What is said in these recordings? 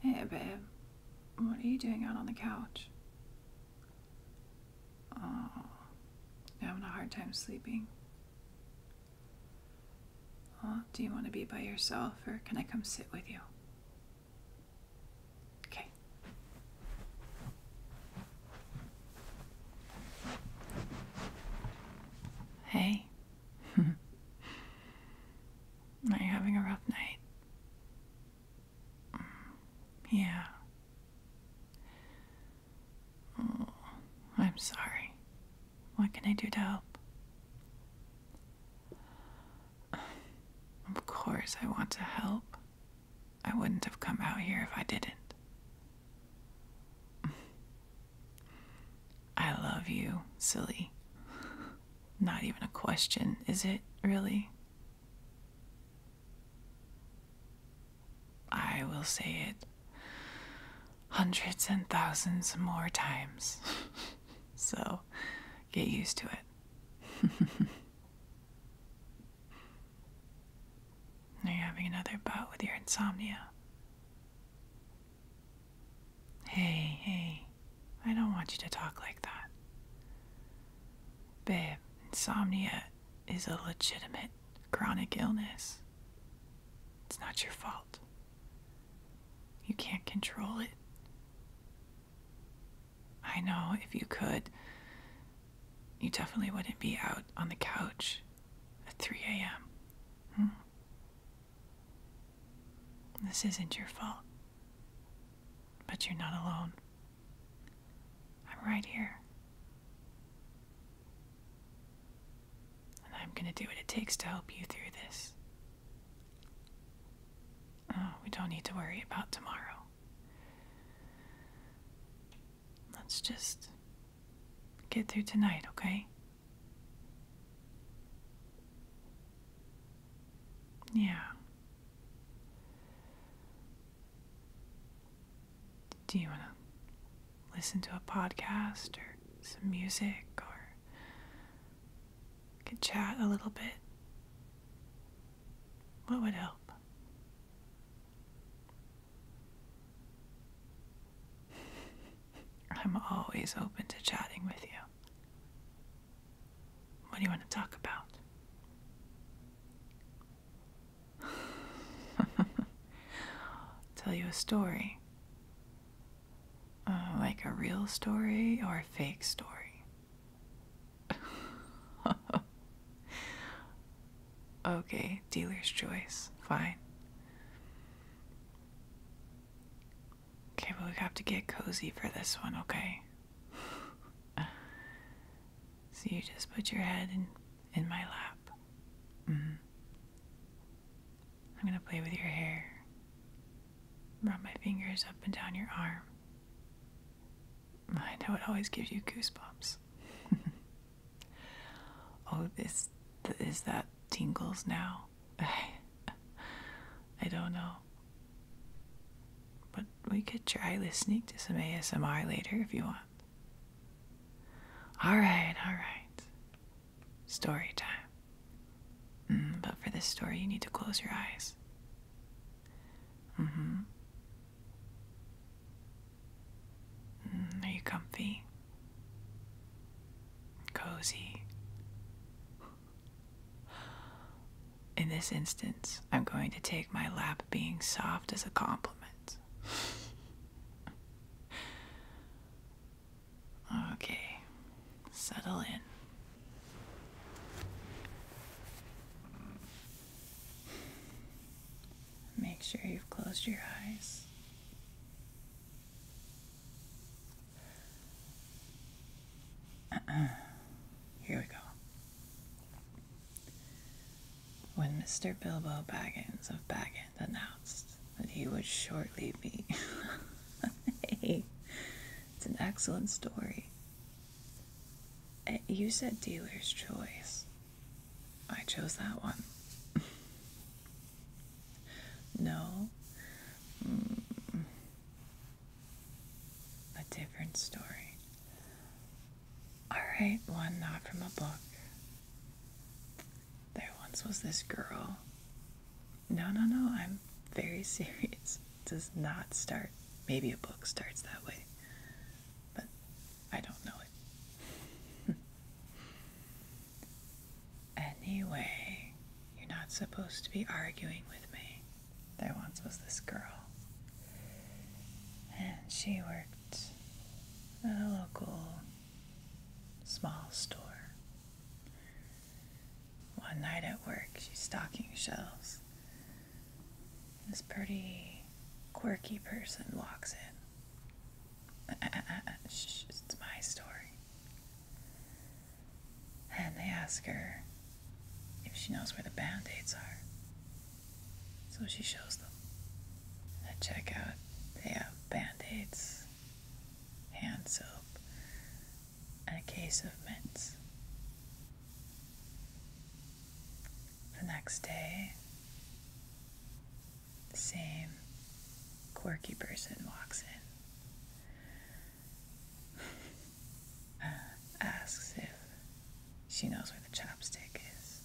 Hey, babe. What are you doing out on the couch? Oh, you're having a hard time sleeping. do you want to be by yourself or can I come sit with you? Okay. Hey. Are you having a rough night? Mm, yeah. Mm, I'm sorry. What can I do to help? Of course, I want to help. I wouldn't have come out here if I didn't. I love you, silly. Not even a question, is it really? I will say it hundreds and thousands more times. so get used to it. Are you having another bout with your insomnia? Hey, hey, I don't want you to talk like that. Babe, insomnia is a legitimate chronic illness. It's not your fault. You can't control it. I know if you could, you definitely wouldn't be out on the couch at 3 a.m. Hmm? This isn't your fault. But you're not alone. I'm right here. And I'm gonna do what it takes to help you through this. Oh, we don't need to worry about tomorrow. Let's just get through tonight, okay? Yeah. Do you want to listen to a podcast or some music or could chat a little bit? What would help? I'm always open to chatting with you. What do you want to talk about? Tell you a story. Uh, like a real story or a fake story? okay, dealer's choice. Fine. Okay, but we have to get cozy for this one, okay? so you just put your head in, in my lap. Mm I'm gonna play with your hair. Rub my fingers up and down your arm. I know it always gives you goosebumps. oh, this, is that tingles now. I don't know. But we could try listening to some ASMR later if you want. Alright, alright. Story time. Mm, but for this story, you need to close your eyes. Mm-hmm. Mm hmm. are you comfy? cozy. In this instance, I'm going to take my lap being soft as a compliment. okay, settle in. Make sure you've closed your eyes. Here we go. When Mr. Bilbo Baggins of Baggins announced that he would shortly be. hey, it's an excellent story. Uh, you said dealer's choice. I chose that one. No. Mm. A different story. Alright, one not from a book. There once was this girl. No, no, no, I'm very serious. It does not start. Maybe a book starts that way, but I don't know it. Anyway, you're not supposed to be arguing with me. There once was this girl, and she worked at a local small store. One night at work, she's stocking shelves. This pretty quirky person walks in it's my story. And they ask her if she knows where the band aids are. So she shows them. At checkout, they have band aids, hand soap, and a case of mints. The next day, same quirky person walks in, asks if she knows where the chopstick is.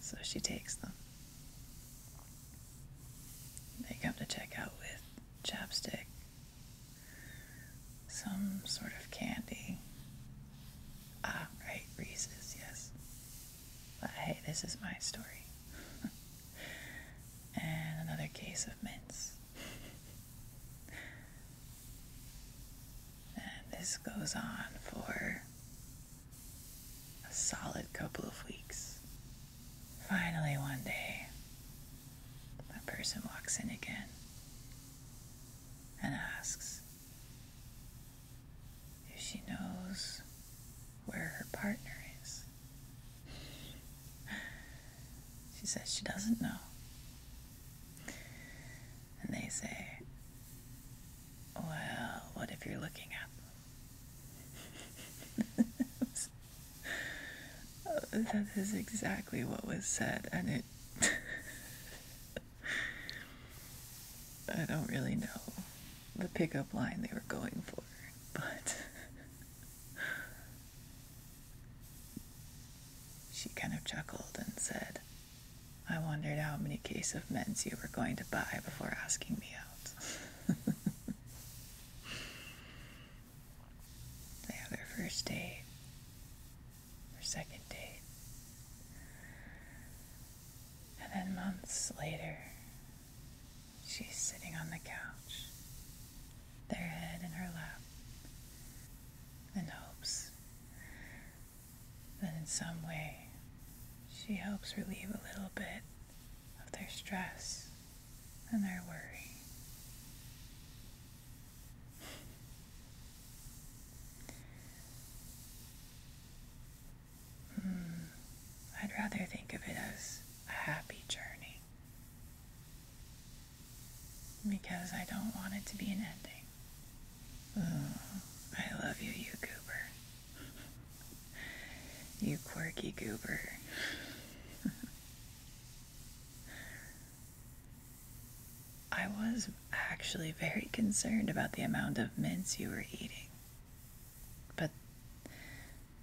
So she takes them. They come to check out with chopstick, some sort of candy. Ah, right, Reese's, yes. But hey, this is my story. and another case of mints. and this goes on for a solid couple of weeks. Finally, one day, a person walks in again and asks, if she knows where her partner is. she says she doesn't know. And they say, Well, what if you're looking at them? that is exactly what was said, and it I don't really know the pickup line they were going for, but she kind of chuckled and said, I wondered how many cases of mints you were going to buy before asking me out. they have their first date, their second date. And then months later, she's sitting on the couch, their head in her lap, and hopes that in some way she helps relieve a little bit of their stress and their worry. Hmm. I'd rather think of it as a happy journey because I don't want it to be an ending. Oh, I love you, you goober. you quirky goober. I was actually very concerned about the amount of mints you were eating. But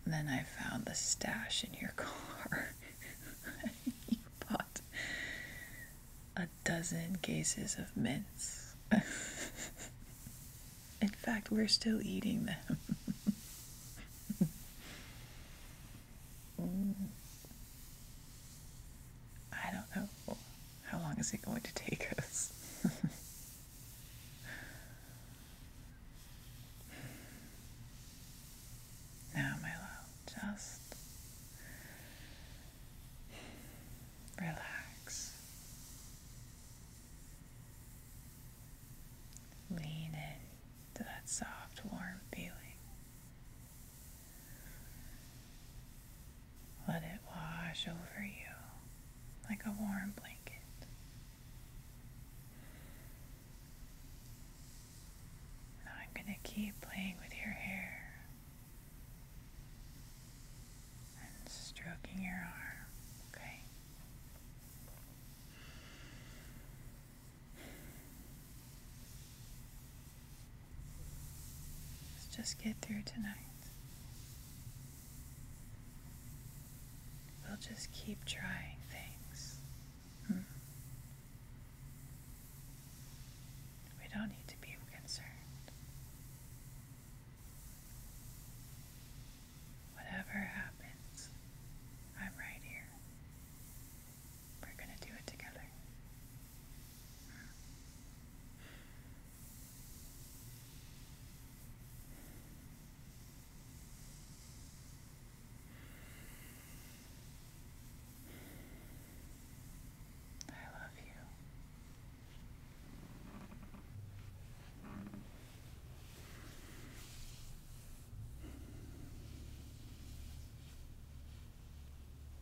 then I found the stash in your car. you bought a dozen cases of mints. in fact, we're still eating them. I don't know. How long is it going to take us? now, my love, just relax. Lean in that soft, warm feeling. Let it wash over you like a warm blanket. I'm going to keep playing with your hair and stroking your arm, okay? Let's just get through tonight. We'll just keep trying things. Hmm. We don't need to be concerned. Whatever happens, I'm right here. We're going to do it together. I love you.